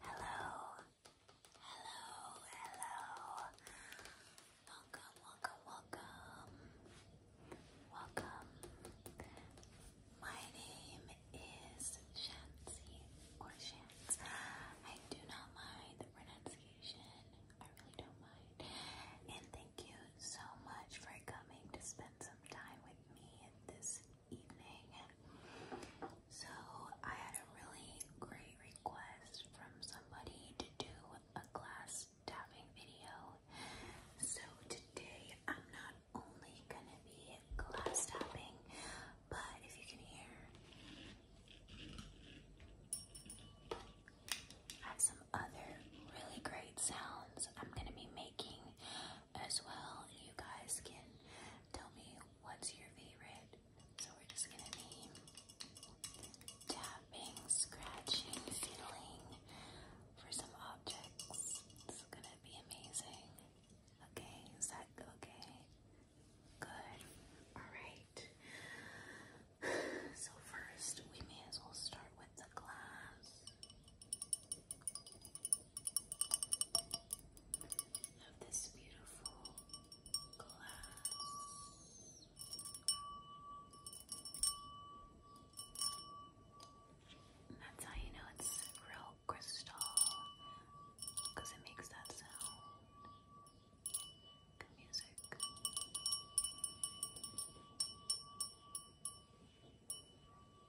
Hello, hello, hello. Welcome, welcome, welcome. Welcome. My name is Shancy or Shans. I do not mind the pronunciation. I really don't mind. And thank you so much for coming to spend some time with this evening. So, I had a really great request from somebody to do a glass tapping video. So, today I'm not only gonna be glass tapping, but if you can hear, I have some other really great sounds I'm gonna be making as well. you guys can tell me what's your favorite. So we're just gonna be tapping, scratching, fiddling for some objects. It's gonna be amazing. Okay, is that okay? Good. Alright. So first we may as well start with the glass of this beautiful glass. And that's how you know it's real crystal because it makes that sound. Good music.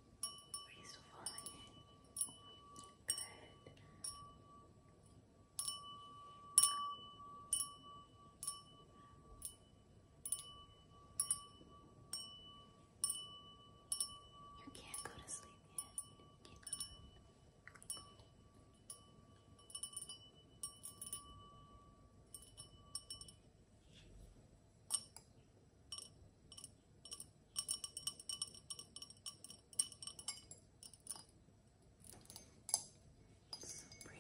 Are you still following it? Good. You can't go to sleep yet. You can't. It's so pretty.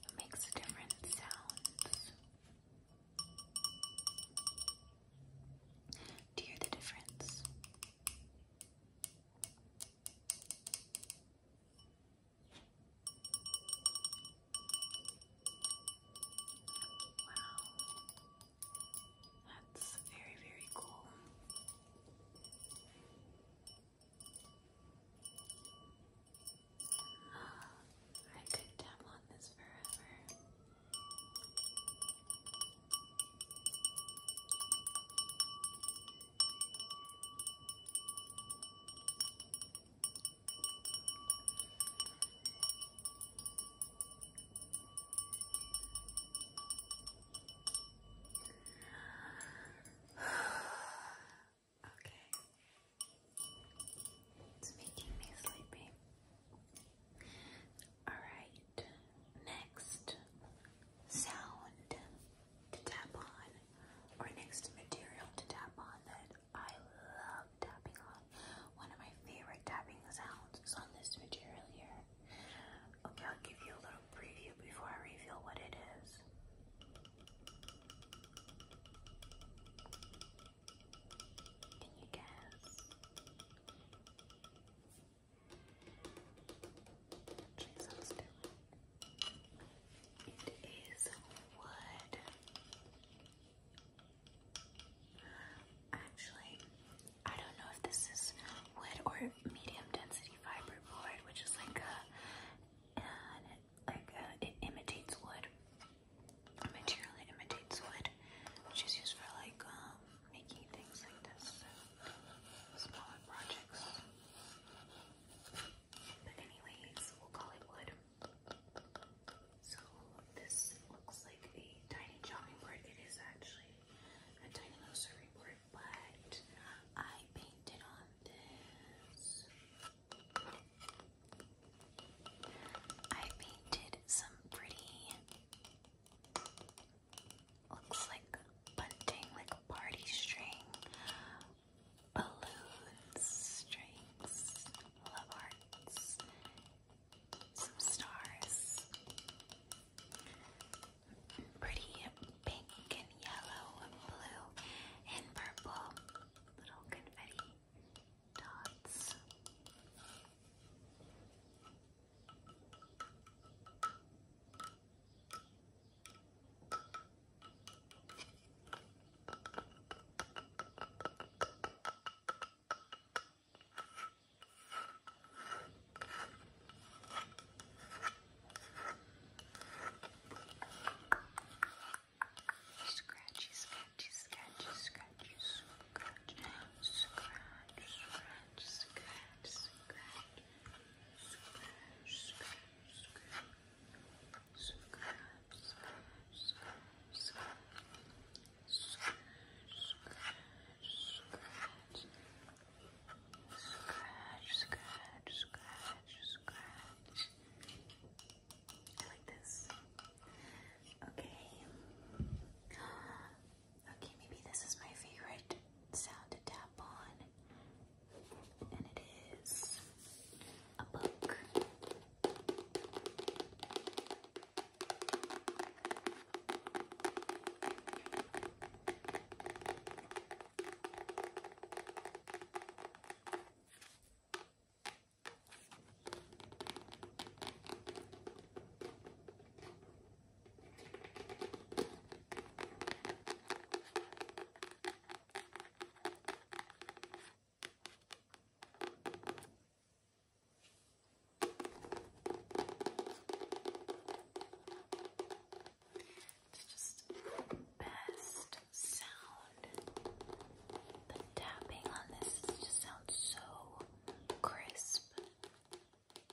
It makes different sounds. Do you hear the difference? Wow. That's very, very cool. I could tap on this forever okay. It's making me sleepy. All right. Next, sound to tap on or next material to tap on that I love tapping on. One of my favorite tapping sounds is on this material here. Okay, I'll give you a little preview before I reveal what it is. Can you guess? It is wood. Actually, I don't know if this is wood or medium density fiber which is like a, like it imitates wood. A imitates wood, which is used for like um, making things like this, smaller projects. But anyways, we'll call it wood. So this looks like a tiny chopping board. It is actually a tiny little serving board, but I painted on this. I painted some pretty Looks like bunting, like party string, balloons, strings, love hearts, some stars, pretty pink and yellow and blue and purple, little confetti dots. Scratchy, scratchy, scratchy, scratchy, scratch, scratch, scratch scratch, scratch, scratch, scratch, scratch. Scratch, scratch, scratch, scratch, scratch, scratch, scratch, scratch, scratch, scratch. I like this. Okay. Okay, maybe this is my favorite sound to tap on. And it is a book. It's just best sound. The tapping on this just sounds so crisp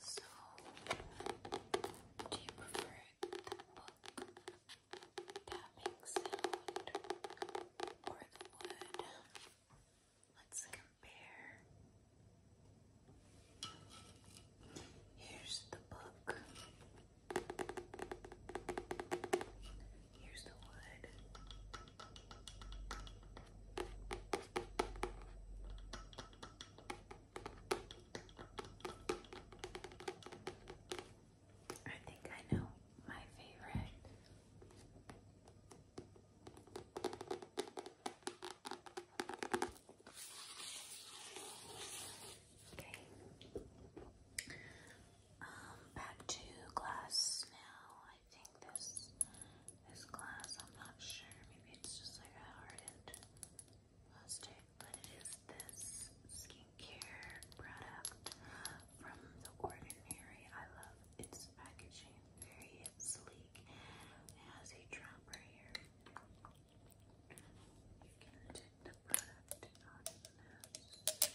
So, do you prefer the book tapping sound or the wood? Let's compare. Here's the book. Here's the wood. I think I know my favorite. Okay. Um, back to glass now. I think this this glass, I'm not sure. Maybe it's just like a hardened plastic, but it is this skincare product from The Ordinary. I love its packaging. Very sleek. It a dropper here. You can detect the product on this.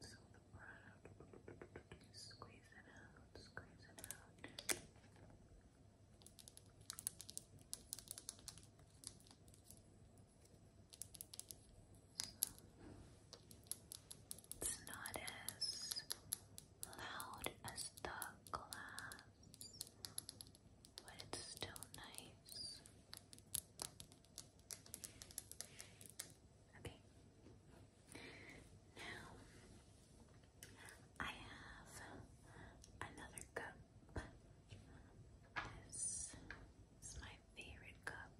So the product, squeeze it out, squeeze it out. It's not as loud as the glass, but it's still nice. Okay. Now I have another cup. This is my favorite cup.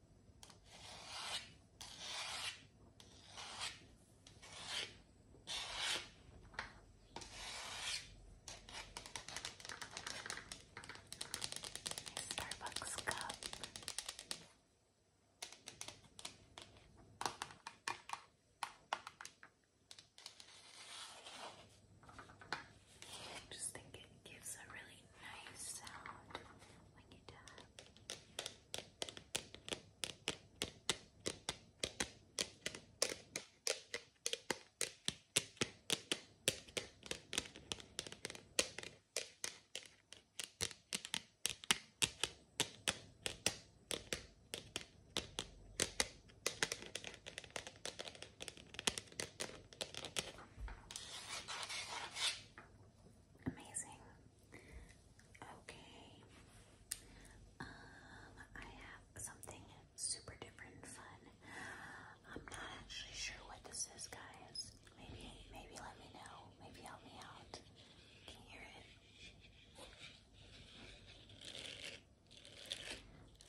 Starbucks cup. I just think it gives a really nice sound when you tap. Okay, Amazing. Okay. Um, I have something super different fun. I'm not actually sure what this is, guys. Maybe, maybe let me know. Maybe help me out. Can hear it?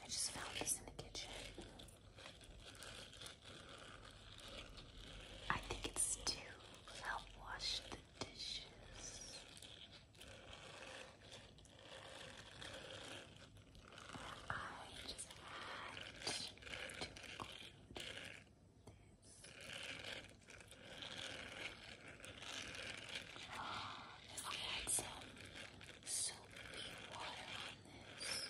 I just found this in the kitchen. I think it's to help wash the dishes. I just had to include this. if we had some soapy water on this,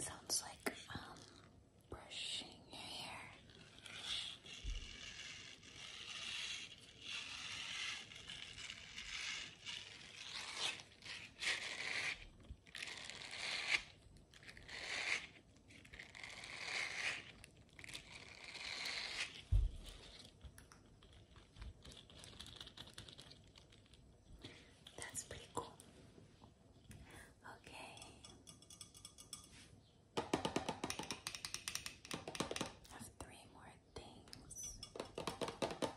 Sounds like um brushing your hair. That's pretty cool. Okay. I have three more things.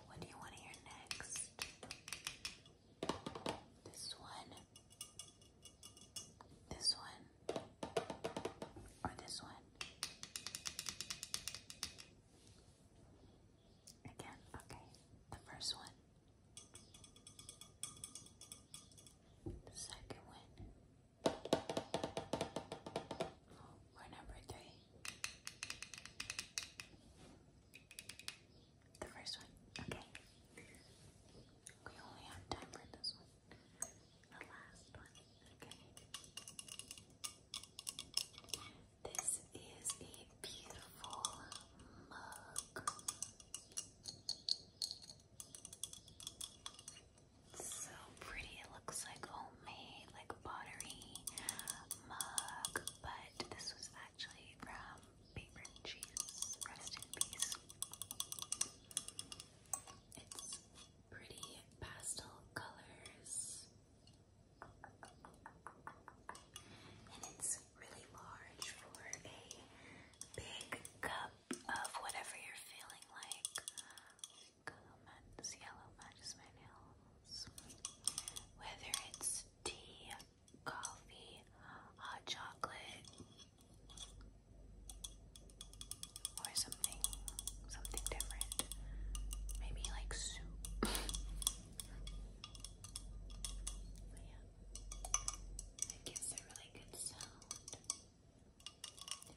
What do you want to hear next? This one. This one. Or this one. Again, okay. The first one. one. For number three. The first one. Okay. We only have time for this one. The last one. Okay. This is a beautiful mug. so pretty. It looks like homemade, like pottery mug but this was actually from Paper and Cheese. Rest in peace. It's pretty pastel colors. And it's really large for a big cup of whatever you're feeling like. Um, yellow matches my nail. Whether it's tea, coffee, hot chocolate, or something, something different. Maybe like soup. but yeah, it gives a really good sound.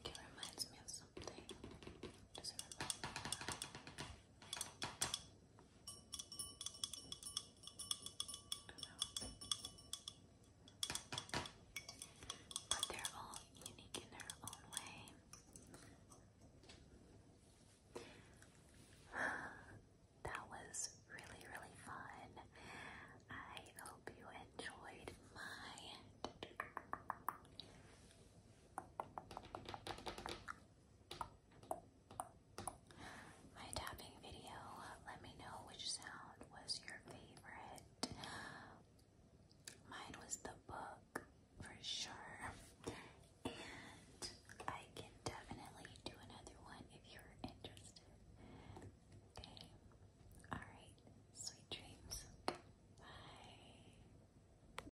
it reminds me of something. But they're all unique in their own way. that was really, really fun. I hope you enjoyed my my tapping video. Let me know which sound was your favorite. Mine was the book for sure. And I can definitely do another one if you're interested. Okay. Alright. Sweet dreams. Bye.